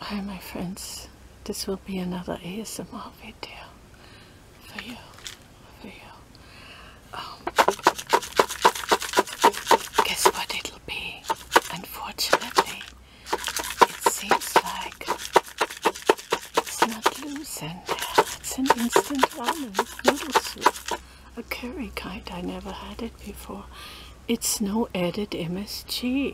Hi my friends, this will be another ASMR video for you, for you. Um, guess what it'll be? Unfortunately, it seems like it's not losing. in there. It's an instant ramen noodle soup, a curry kind. I never had it before. It's no added MSG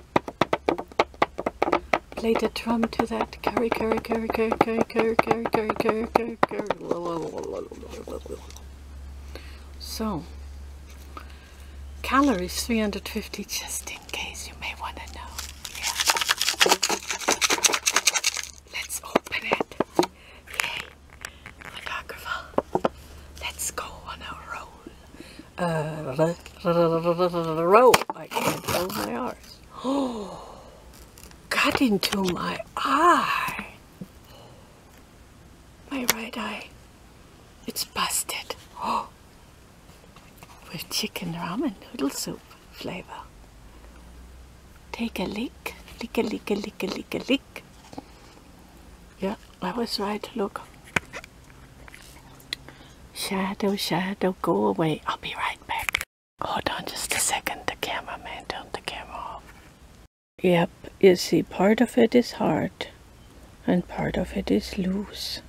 Play the drum to that curry curry curry curry curry curry curry curry curry curry curry So calories 350 just in case you may want to know. Yeah. Let's open it. Yay. Wonderful. Let's go on a roll uh, rope. I can't close my eyes. Oh, got into my eye. My right eye. It's busted. Oh, with chicken ramen noodle soup flavor. Take a lick. Lick a lick a lick a lick a lick. Yeah. I was right, look. Shadow, shadow, go away. I'll be right back. Hold on just a second. The cameraman turned the camera off. Yep, you see, part of it is hard and part of it is loose.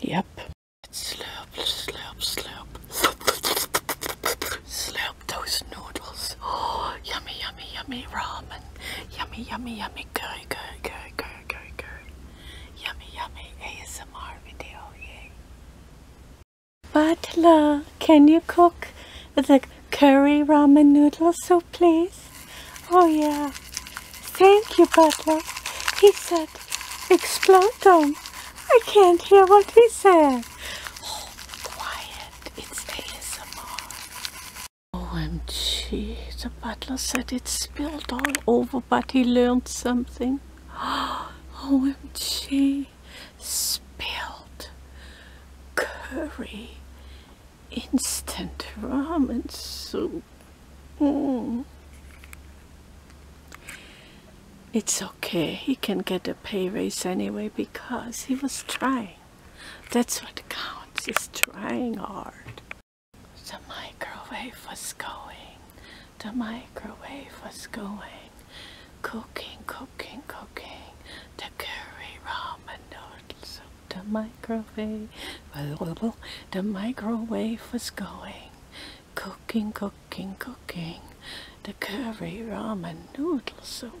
Yep. Slurp, slurp, slurp. Slurp those noodles. Oh, yummy, yummy, yummy ramen ramen. Yummy, yummy, yummy. Curry, curry, curry, curry, curry, curry. Yummy, yummy. ASMR video. Yay. Butler, can you cook the curry ramen noodle soup, please? Oh, yeah. Thank you, Butler. He said, explode them. I can't hear what he said. Oh, OMG, the butler said it spilled all over, but he learned something. OMG, spilled curry, instant ramen soup. Mm. It's okay, he can get a pay raise anyway because he was trying. That's what counts, is trying hard. The microwave was going, the microwave was going. Cooking, cooking, cooking, the curry ramen noodle The microwave, the microwave was going. Cooking, cooking, cooking, the curry ramen noodle soup.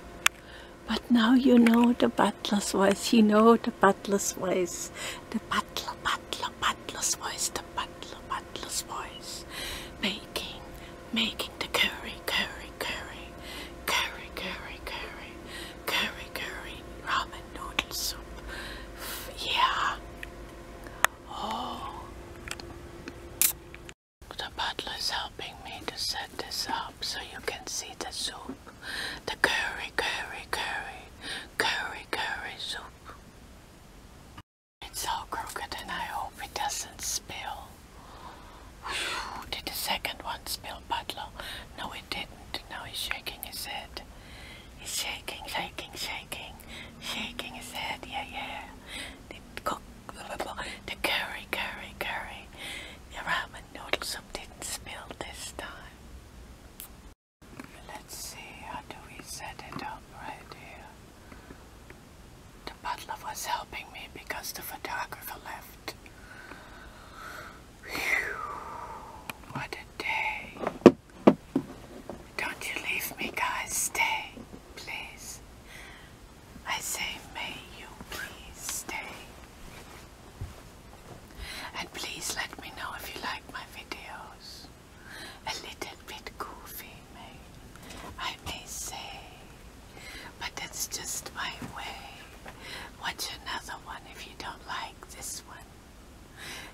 book. But now you know the butler's voice. You know the butler's voice. The butler, butler, butler's voice. The butler, butler's voice. Making, making the curry, curry, curry, curry, curry, curry, curry, curry, ramen noodle soup. Yeah. Oh. The butler's helping me to set this up so you can see the soup. The curry, curry, curry, curry, curry soup. It's all crooked and I hope it doesn't spill. Whew, did the second one spill, butler? No, it didn't. Now he's shaking his head. He's shaking, shaking, shaking, shaking his head. Yeah, yeah cook the curry, curry, curry, the ramen noodle soup did this time. Let's see, how do we set it up right here? The butler was helping me because the photographer left. Whew, what a day. Don't you leave me, guys. Stay, please. I say, may you please stay. And please let me know if you like my videos. A little bit goofy, may I may say, but that's just my way. Watch another one if you don't like this one.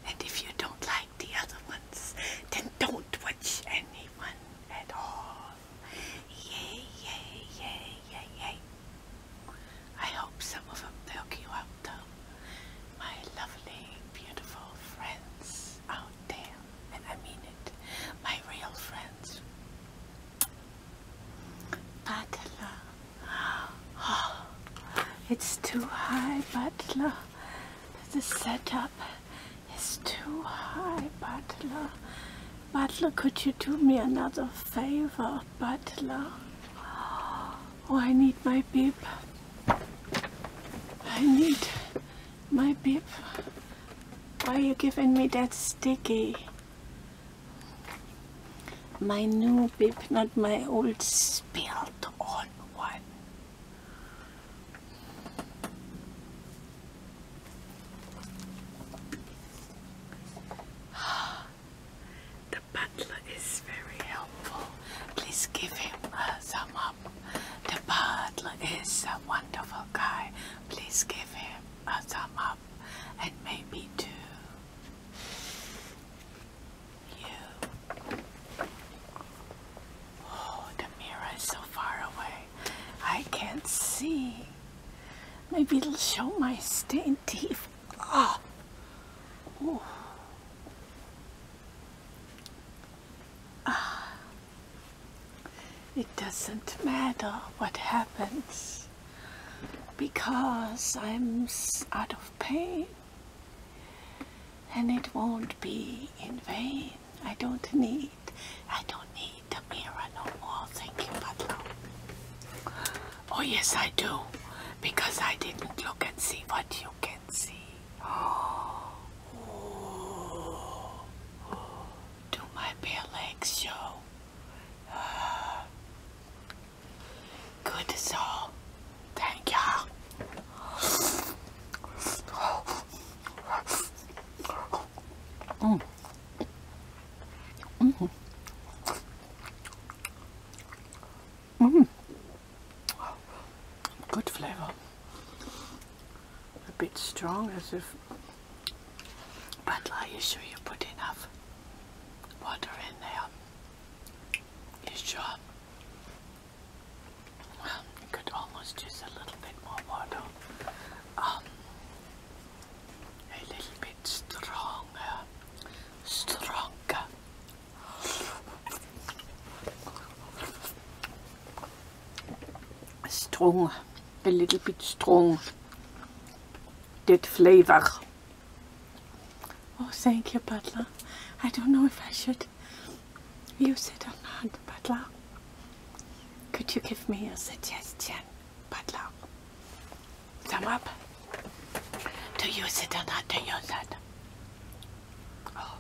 And if you don't like the other ones, then don't watch anyone at all. Yay, yay, yay, yay, yay. I hope some of them they you out though. My lovely, beautiful friends out there. And I mean it. My real friends. Butler. Oh, it's too high, Butler. The setup it's too high, Butler. Butler, could you do me another favor, Butler? Oh, I need my bib. I need my bib. Why are you giving me that sticky? My new bib, not my old spilled on one. the butler is very helpful. Please give him a uh, thumb up. The butler is a wonderful guy. Please give him a uh, thumb up and maybe two. You. Oh, the mirror is so far away. I can't see. Maybe it'll show my stained teeth. Ah. Oh. Ah. It doesn't matter what happens because I'm out of pain and it won't be in vain. I don't need, I don't need a mirror no more, thank you, Butler. Oh yes, I do, because I didn't look and see what you can see. Oh, Do my bare legs show? good as Thank you. Mm. Mm -hmm. Good flavor. A bit strong as if but are you sure you put enough water in there? You sure? could almost just a little bit more water. Um, a little bit stronger, stronger. Strong, a little bit strong. That flavor. Oh, thank you, Butler. I don't know if I should use it or not, Butler. Could you give me a suggestion, butler? Thumb up. Do you sit on that to use it. Oh.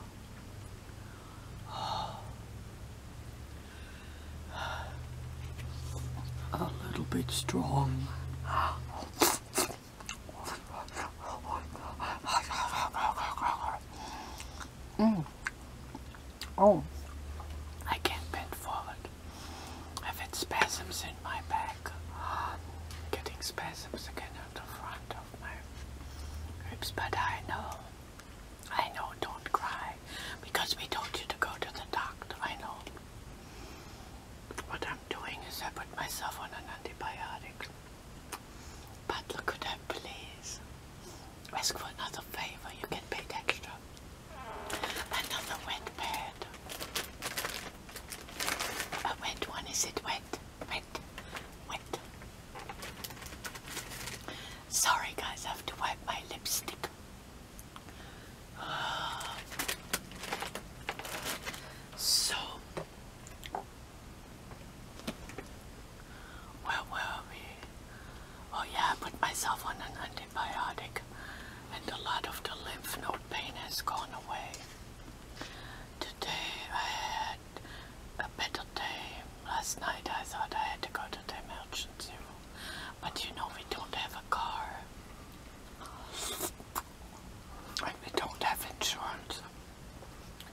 Oh. A little bit strong. Mm. Oh, I can't bend forward. I've had spasms in my back. getting spasms again at the front of my ribs, but I know. I know, don't cry. Because we told you to go to the doctor, I know. What I'm doing is I put myself on an antibiotic. But look at that, please ask for another favor, you can pay extra. Another wet pad. A wet one, is it wet? Wet, wet. Sorry guys, I have to wipe my lipstick. Uh, so where were we? Oh yeah, I put myself on an antibiotic and a lot of the lymph node pain has gone away. Today I had a better day. Last night I thought I had to go to the emergency room. But you know we don't have a car. And we don't have insurance.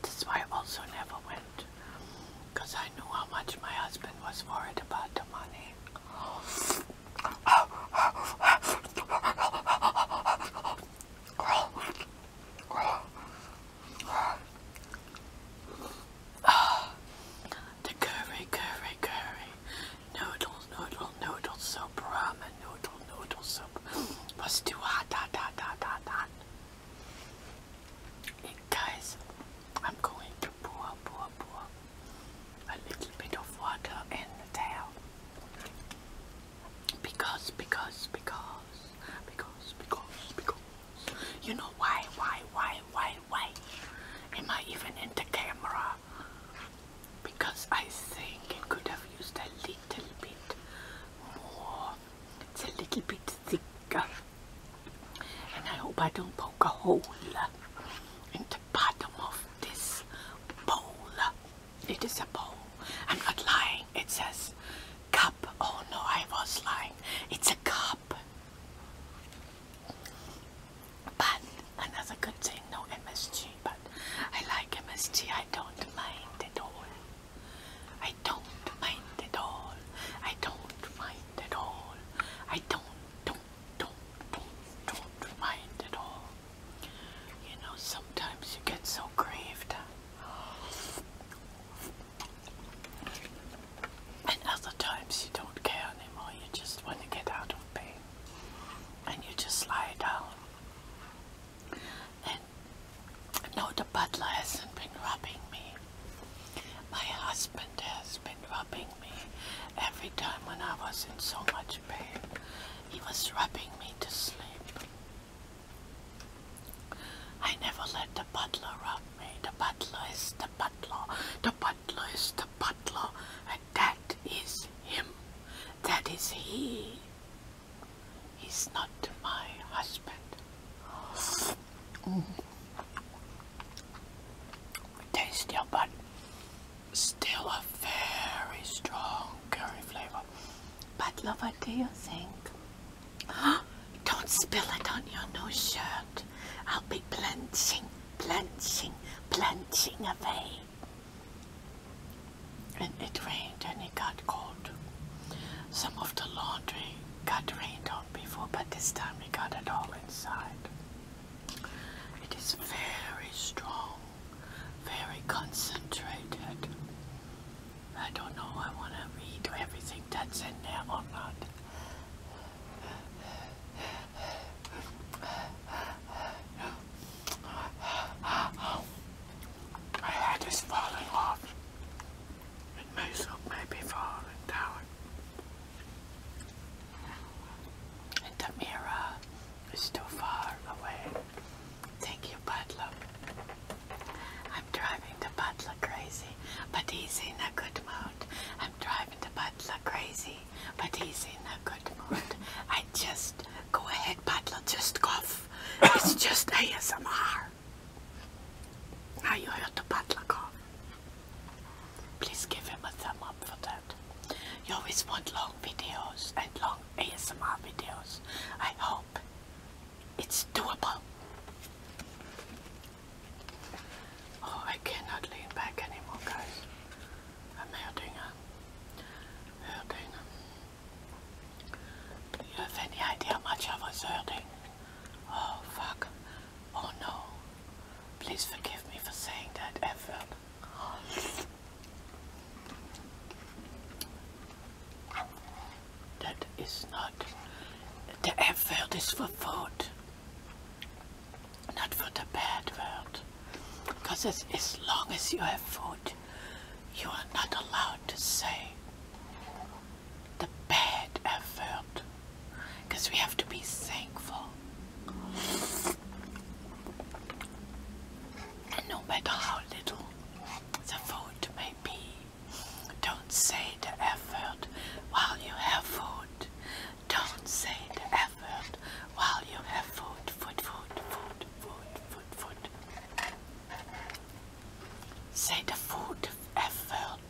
That's why I also never went because I knew how much my husband was worried about the money. the curry, curry, curry, noodle, noodle, noodle soup, ramen, noodle, noodle soup was too hot, hot, hot, hot, hot, hot. Hey guys, I'm going to pour, pour, pour a little bit of water in the towel because, because, because, because, because, because. You know why, why, why, why, why? Am I even in the camera? Because I think it could have used a little bit more it's a little bit thicker. And I hope I don't poke a hole in the bottom of this bowl. It is a bowl. I'm not lying. It says cup. Oh no, I was lying. It's a cup. But another good thing, no MSG. But I like MSG. I don't mind at all. I don't mind mind at all. I don't mind at all. I don't, don't, don't, don't, don't mind at all. You know, sometimes you get so craved. And other times you don't care anymore. You just want to get out of pain. And you just lie down. And no, the butler hasn't been rubbing me. My husband has been rubbing me every time when I was in so much pain. He was rubbing me to sleep. I never let the butler rub me. The butler is the butler. The butler is the butler. And that is him. That is he. He's not my husband. Mm. Tasty, but still a very strong curry flavor. But love, what do you think? Don't spill it on your new shirt. I'll be blanching, blanching, blanching away. And it rained and it got cold. Some of the laundry got rained on before, but this time we got it all inside. It is very strong, very concentrated. I don't know, I want to read everything that's in there or not. My head is falling off and Moosel may be falling down. And the mirror is too far away. Thank you, Butler. I'm driving the Butler crazy, but he's in a good mood. I'm driving the Butler crazy, but he's in a good mood. I just go ahead, Butler, just cough. it's just ASMR. Now you heard the butler Please give him a thumb up for that. You always want long videos and long ASMR videos. I hope it's doable. Oh, I cannot lean back anymore, guys. I'm hurting. I'm hurting. Do you have any idea how much I was hurting? Oh, fuck. Oh no. Please forgive me for saying that effort. That is not. The F is for food, not for the bad word. Because as long as you have food, you are not allowed to say the bad effort because we have to be thankful. no matter how little the food may be, don't say the effort while you have food. Don't say the effort while you have food, food, food, food, food, food, food. Say the food effort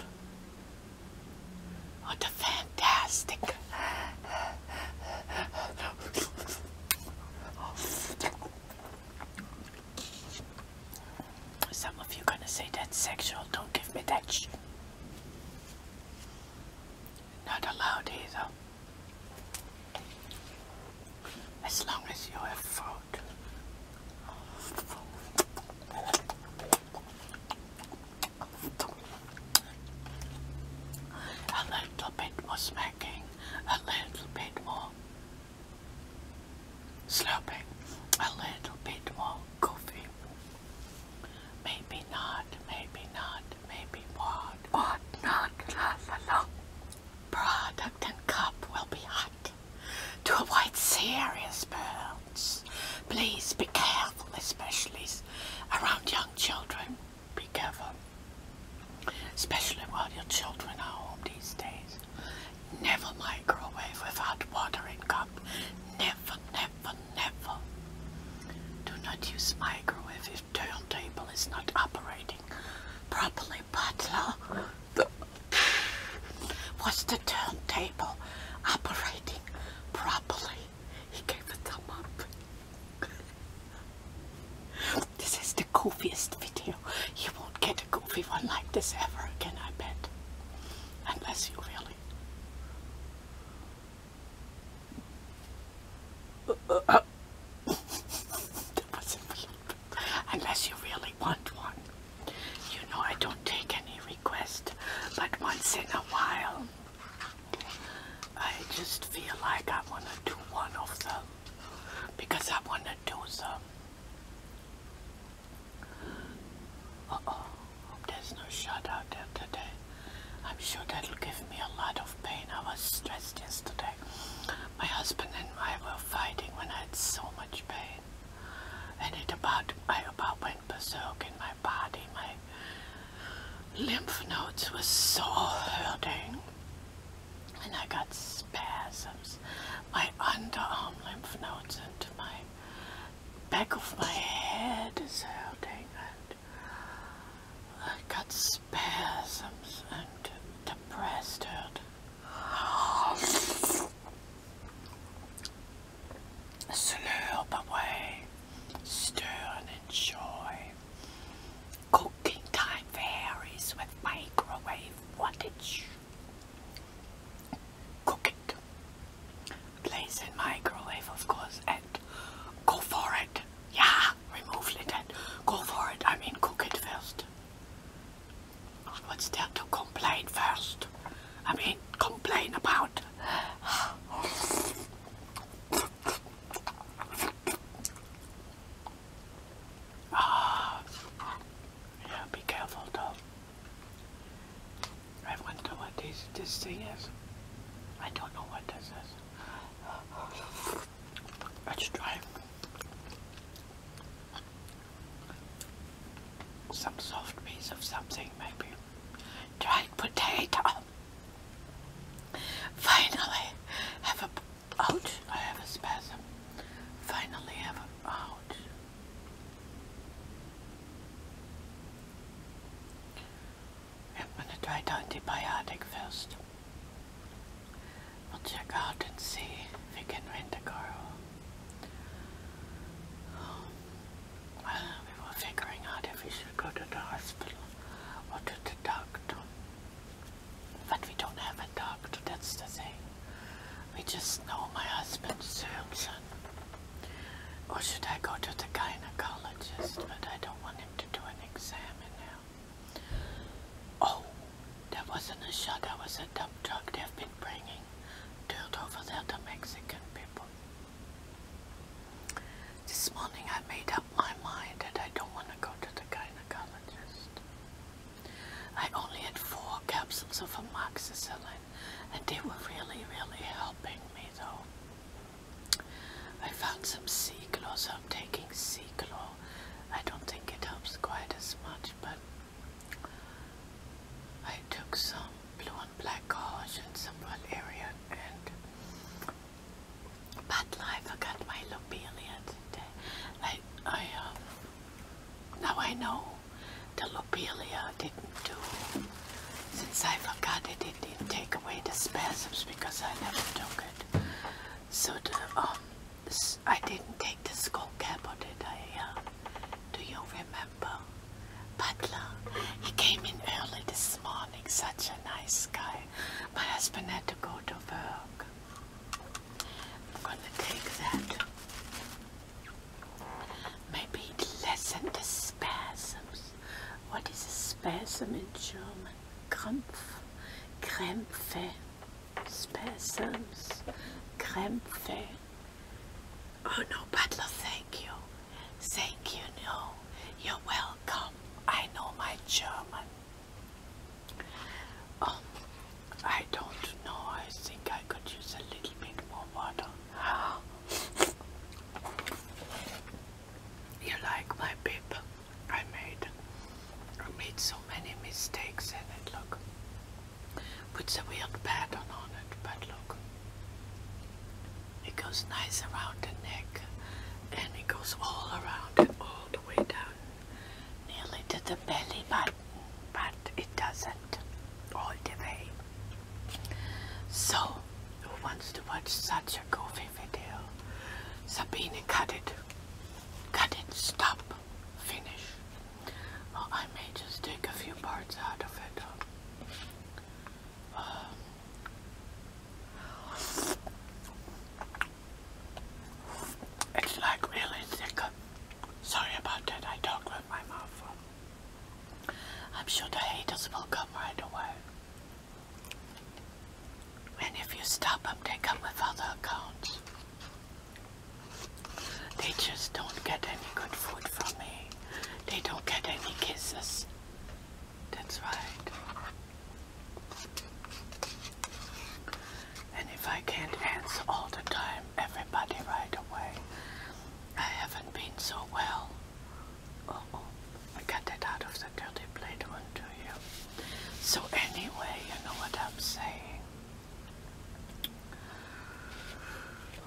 what a fantastic. Some of you gonna say that's sexual. Don't give me that Not allowed either. As long as you have food. A little bit more smacking, a little bit more slapping, a little bit more coffee. Maybe not, maybe not, maybe what, what not, la la Product and cup will be hot to avoid serious burns. Please be careful, especially around young children. Be careful, especially while your children are home these days. Never microwave without watering cup. Never, never, never. Do not use microwave if turntable is not operating properly, butler. Was the turntable operating properly? He gave a thumb up. this is the goofiest video. You won't get a goofy one like this ever again, I bet. Unless you really. Unless you really want one. You know I don't take any requests, but once in a while I just feel like I want to do one of them because I want to do them. oh, there's no shut out there today. I'm sure that'll give me a lot of pain. I was stressed yesterday. My husband and I were fighting when I had so much pain and it about I about went berserk in my body. My lymph nodes were so hurting, and I got spasms. My underarm lymph nodes into my back of my head is hurting, and I got spasms and depressed, hurt. Slurp away, stir and enjoy. Cooking time varies with microwave wattage. Cook it. Place in microwave, of course, and go for it. Yeah, remove lid and go for it. I mean, cook it first. What's there to complain first? I mean, complain about. oh. Yeah, be careful though. I wonder what this, this thing is. I don't know what this is. Let's try some soft piece of something maybe. Dried potato. Finally have a ouch, I have a spasm. Finally have a ouch. I'm gonna try the antibiotic first. We'll check out and see if we can rent a car we were figuring out if we should go to the hospital or to the doctor. But we don't have a doctor, that's the thing. We just know my husband's surgeon. Or should I go to the gynecologist? But I don't want him to do an exam now. there. Oh, that wasn't a shot, that was a dump truck they've been bringing turned over there to Mexican people. This morning I made up my mind that I don't want to go to the gynecologist. I only had four capsules of amoxicillin and they were really, really helping me though. I found some sea glow, I'm taking sea glow. I don't think it helps quite as much, but I took some blue and black gauze in some Valerian and but I forgot my lobelia today. I, I um, now I know the lobelia didn't do since I forgot it it didn't take away the spasms because I never took it. So the um I didn't take the skull cap or did I? Uh, do you remember? Butler. He came in early this morning. Such a nice guy. My husband had to go to work. I'm gonna take that. Maybe it the spasms. What is a spasm in German? Krampf. Krämpfe. Spasms. Krämpfe. Oh no, Butler, thank you. Thank you, no. You're welcome. I know my German. Um, I don't know. I think I could use a little bit more water. you like my bib? I made. I made so many mistakes in it. Look puts a weird pattern on it, but look. It goes nice around the neck and it goes all around all the way down nearly to the belly button, but it doesn't all the way. So, who wants to watch such a goofy video? Sabine, cut it. Cut it. Stop finish. I may just take a few parts out of it. Um, um, it's like really thick. Sorry about that, I talk with my mouth full. I'm sure the haters will come right away. And if you stop them, with other accounts. They just don't get any good food from me. They don't get any kisses. That's right. And if I can't answer all the time, everybody right away, I haven't been so well. oh, I got that out of the dirty plate one to So anyway, you know what I'm saying.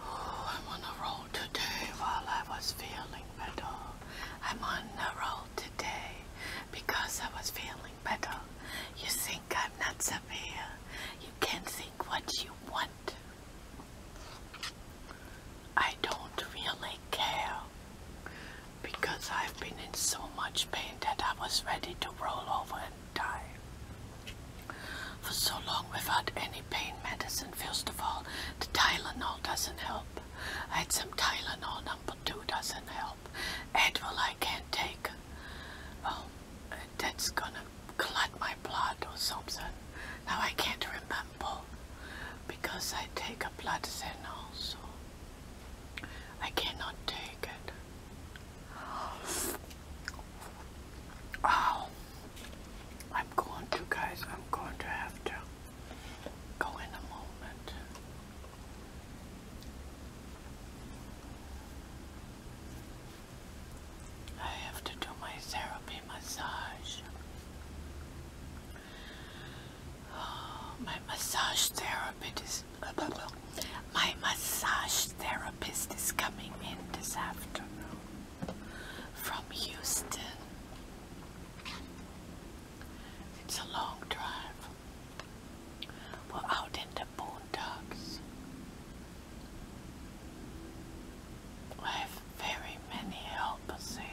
Oh, I'm on the roll today while I was feeling better. I'm on a roll today because I was feeling better. You think I'm not severe. You can think what you want. I don't really care because I've been in so much pain that I was ready to roll over and die. For so long without any pain medicine, first of all, the Tylenol doesn't help. I had some Tylenol, number two doesn't help. Advil I can't take. Well, oh, that's gonna clot my blood or something. Now I can't remember because I take a blood thinner, so I cannot take it. Oh, I'm going to, guys. I'm going to have to go in a moment. I have to do my therapy massage. Oh, my massage therapist is. My massage therapist is coming in this afternoon from Houston. It's a long drive. We're out in the boondocks. I have very many helpers here.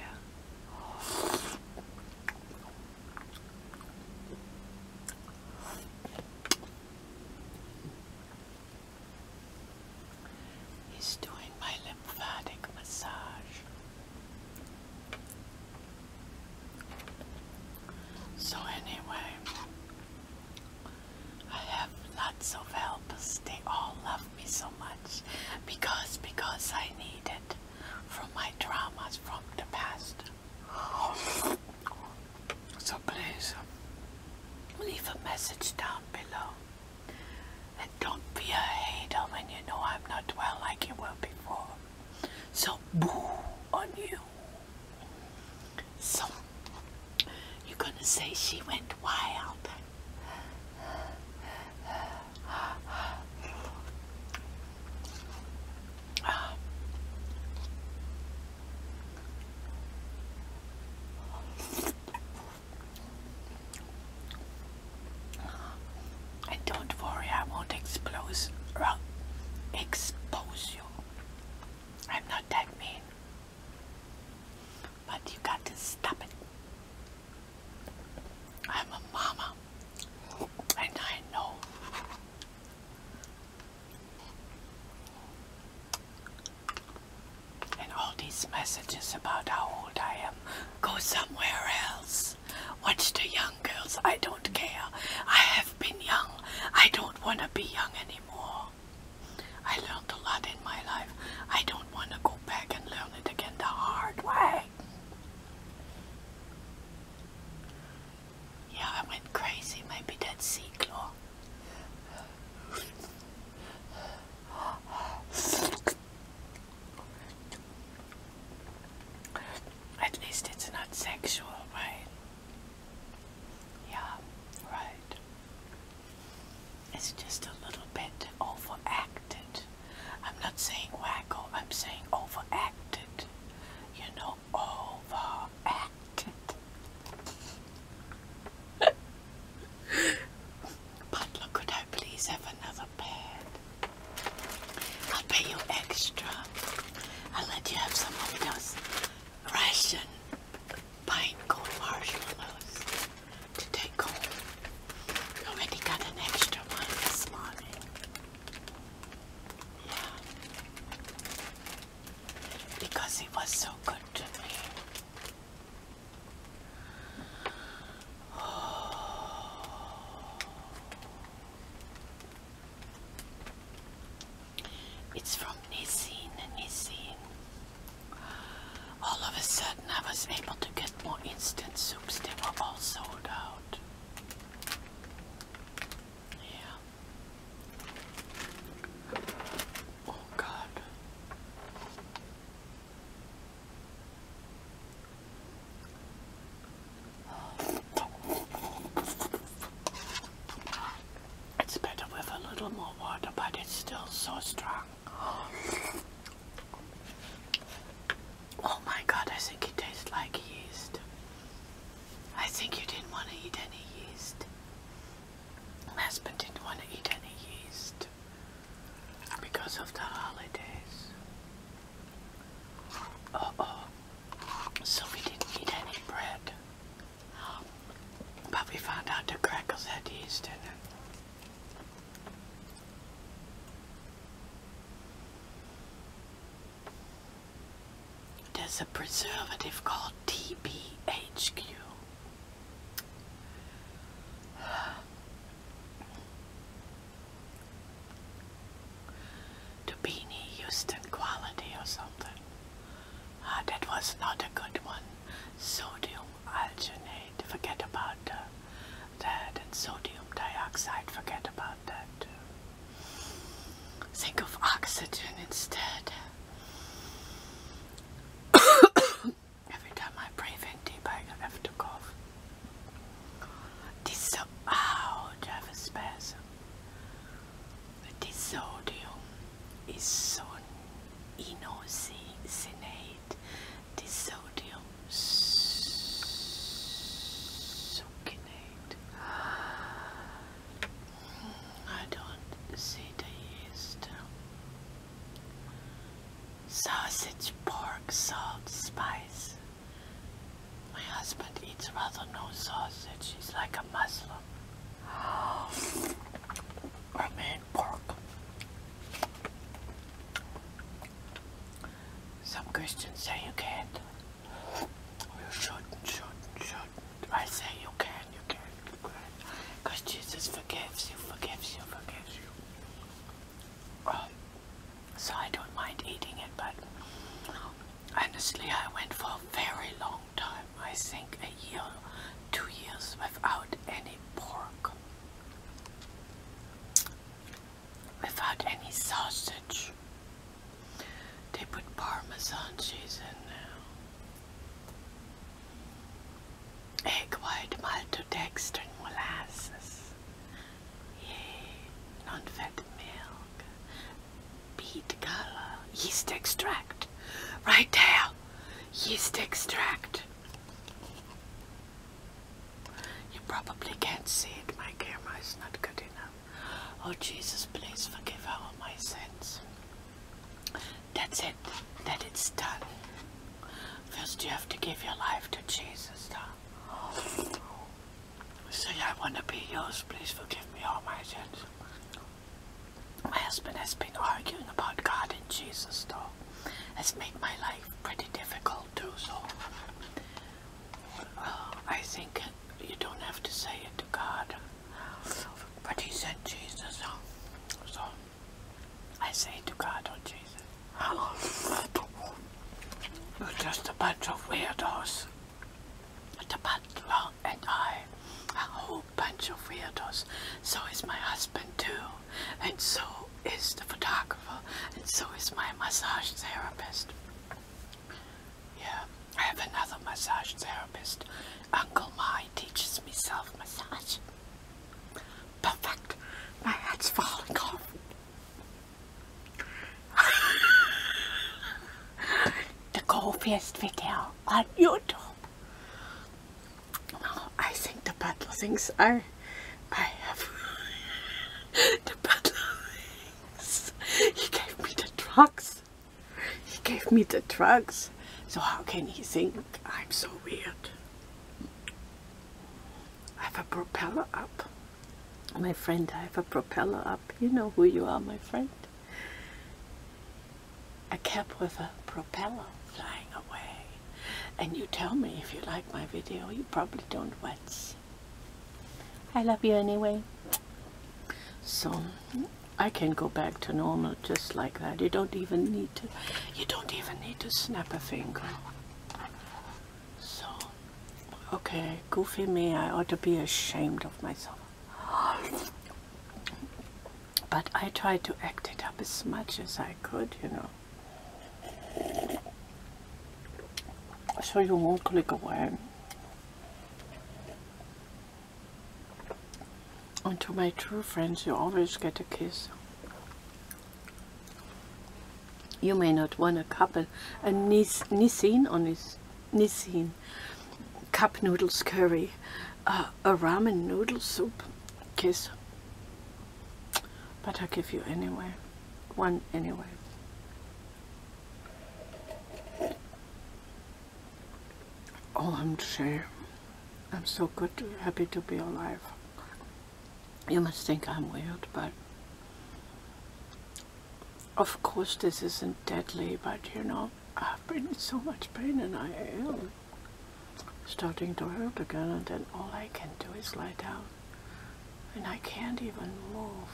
He's doing my lymphatic massage. So, anyway, I have lots of help. They all love me so much because because I need it from my traumas from the past. So please leave a message down below. And don't be a hater when you know I'm not well like you were before. So boo on you. So you're gonna say she went wild. I don't worry, I won't expose, expose you. I'm not that mean. But you got to stop it. I'm a mama. And I know and all these messages about how old I am go somewhere else. Watch the young girls. I don't care. I have been young. I don't want to be young anymore. I learned a lot in my life. I don't want to go back and learn it again the hard way. Yeah, I went crazy. Maybe that's sea at least it's not sexual, right? Yeah, right. It's just a little bit overacted. I'm not saying wacko, I'm saying overacted. You know? overacted. but could I please have another bed? I'll pay you extra. I'll let you have some of those ration pine cold marshmallows to take home. already got an extra one this morning. Yeah because he was so good to me. Oh. It's from Nissin, Nissin. All of a sudden I was able to get more instant soups. They were all sold out. Yeah. Oh God. It's better with a little more water, but it's still so strong. Oh my god, I think it tastes like yeast. I think you didn't want to eat any yeast. My husband didn't want to eat any yeast because of the holidays. Uh oh. So we didn't eat any bread. But we found out the crackles had yeast in it. There's a preservative called TBHQ. To Houston quality or something. Uh, that was not a good one. Sodium alginate, forget about that. And sodium dioxide, forget about that. Too. Think of oxygen instead. Every time I breathe in deep, I have to cough. Disso oh, do have a spasm. The disodium is so inocinate. succinate. I don't see the yeast. Sausage, pork, salt, spice. My husband eats rather no sausage. He's like a Muslim. I mean pork. Some Christians say you can't. You should shut, shut. not I say you can, you can, you can. Because Jesus forgives you, forgives you, forgives you. Um, so I don't mind eating it, but honestly, I went for a very long time. I think a year, two years without any pork, without any sausage. They put Parmesan cheese in now. Egg white, maltodextrin, molasses. Yay. Non-fat milk. Beet color. Yeast extract. Right there. Yeast extract. You probably can't see it. My camera not good enough. Oh Jesus, please forgive all my sins. That's it. That it's done. First you have to give your life to Jesus. Though. Say, I want to be yours. Please forgive me all my sins. My husband has been arguing about God and Jesus, though. Has made my life pretty difficult, too, so... Oh, I think you don't have to say it to God. But he said Jesus, so I say to God, oh Jesus, you're just a bunch of weirdos. The butler and I, a whole bunch of weirdos. So is my husband too, and so is the photographer, and so is my massage therapist. Yeah, I have another massage therapist. Uncle Mai teaches me self massage. Perfect. My head's falling off. the goofiest video on YouTube. Oh, I think the butler things I, I have. the butler things. He gave me the drugs. He gave me the drugs, so how can he think I'm so weird? I have a propeller up. My friend, I have a propeller up. You know who you are, my friend. A cap with a propeller flying away. And you tell me if you like my video. You probably don't watch. I love you anyway. So, hmm. I can go back to normal just like that. You don't even need to, you don't even need to snap a finger. So, okay, goofy me, I ought to be ashamed of myself. But I tried to act it up as much as I could, you know. So you won't click away. And to my true friends, you always get a kiss. You may not want a couple, a nis nissin or nis nissin, cup noodles curry, uh, a ramen noodle soup, kiss. But I give you anyway, one anyway. Oh, I'm saying, I'm so good, happy to be alive. You must think I'm weird, but of course this isn't deadly, but you know, I've been in so much pain and I am starting to hurt again and then all I can do is lie down and I can't even move.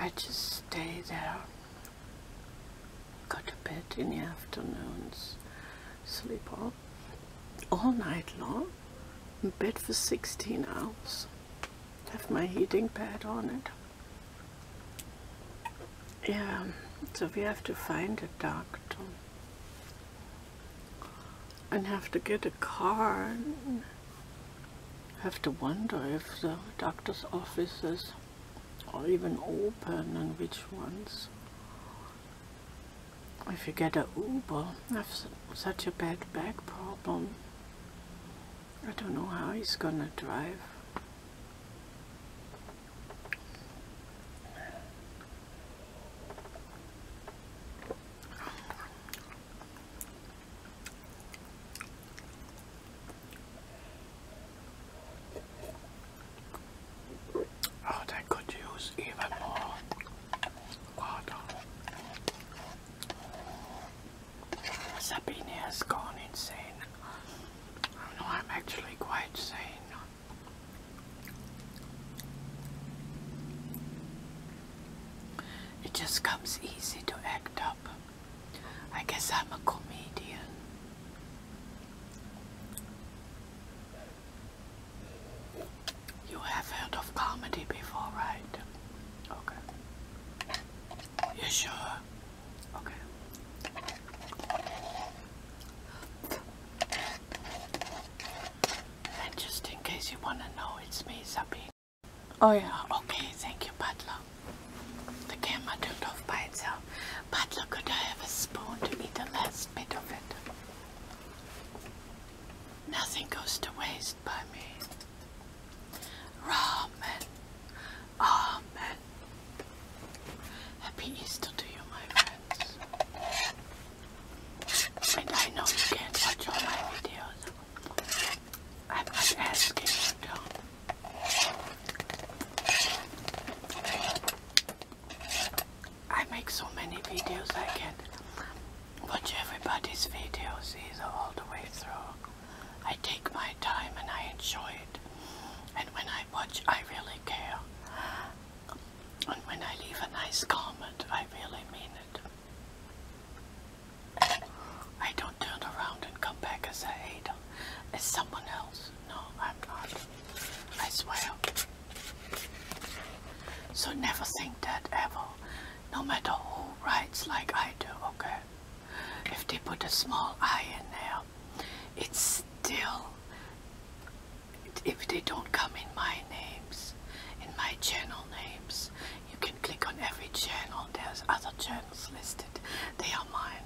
I just stay there, go to bed in the afternoons, sleep all, all night long, in bed for 16 hours, have my heating pad on it. Yeah, so we have to find a doctor and have to get a car. I have to wonder if the doctor's offices are even open and which ones. If you get a Uber, I have such a bad back problem. I don't know how he's gonna drive. Oh, they could use even more water. Sabine has gone insane. I oh, I'm actually quite sane. It just comes easy to act up. I guess I'm a comedian. You have heard of comedy before, right? Okay. You sure? Okay. And just in case you want to know, it's me, Sabine. Oh yeah, okay, thank you, butler. The camera turned off by itself. Butler, could I have a spoon to eat the last bit of it? Nothing goes to waste by me. Ramen. Amen. Happy Easter to you, my friends. And I know you can't watch all my videos. I'm not asking you to. I make so many videos I can watch everybody's videos either all the way through. I take my time and I enjoy it. And when I watch, I really care. And when I leave a nice comment, I really mean it. I don't turn around and come back as a hater, as someone else. No, I'm not. I swear. So never think that ever, no matter who writes like I do, okay? If they put a small I in there, it's still, if they don't come in my names, in my channel names, you can click on every channel. There's other channels listed. They are mine.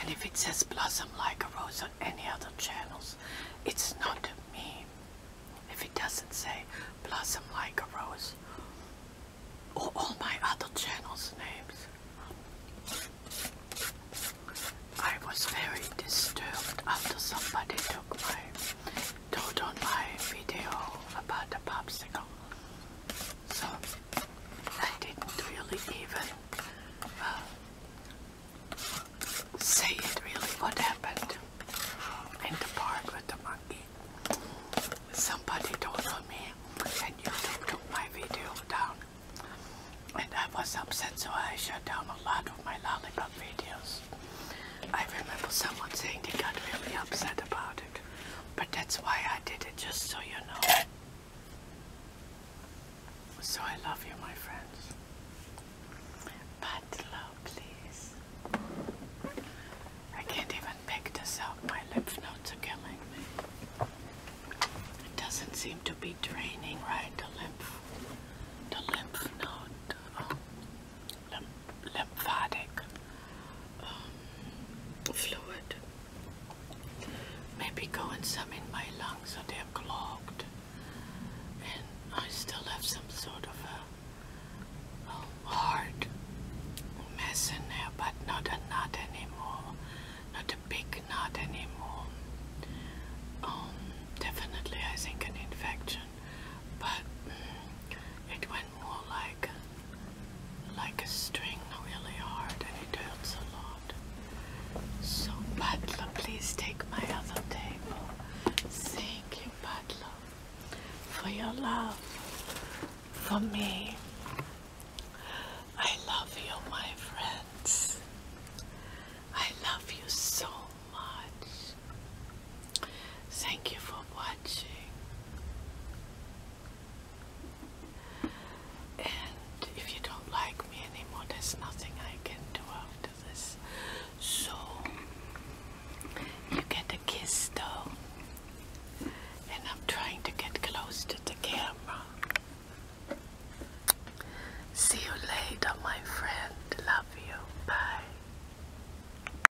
And if it says blossom like a rose on any other channels, it's not me. If it doesn't say blossom like a rose or all my other channels names. I was very disturbed after somebody took my told on my video about the popsicle. So I didn't really even uh, say it really what happened in the park with the monkey. Somebody told on me and YouTube took my video down and I was upset so I shut down a lot of my lollipop videos. I remember someone saying they got really upset about it but that's why I did it, just so you know. So I love you, my friends. But love, please. I can't even pick this up. My lymph nodes are killing me. It doesn't seem to be draining right, the lymph, the lymph node lymph lymphatic um, fluid maybe going some in my lungs so they're clogged and I still have some sort of a, heart mess in there but not a knot anymore not a big knot anymore um, definitely I think an infection but mm, it went more like like a string really hard and it hurts a lot. So Butler, please take my other table. Thank you, Butler, for your love for me. I love you, my friends. I love you so much. Thank you for watching. And if you don't like me anymore, there's nothing I can do after this. So, you get a kiss though. And I'm trying to get close to the camera. See you later, my friend. Love you. Bye.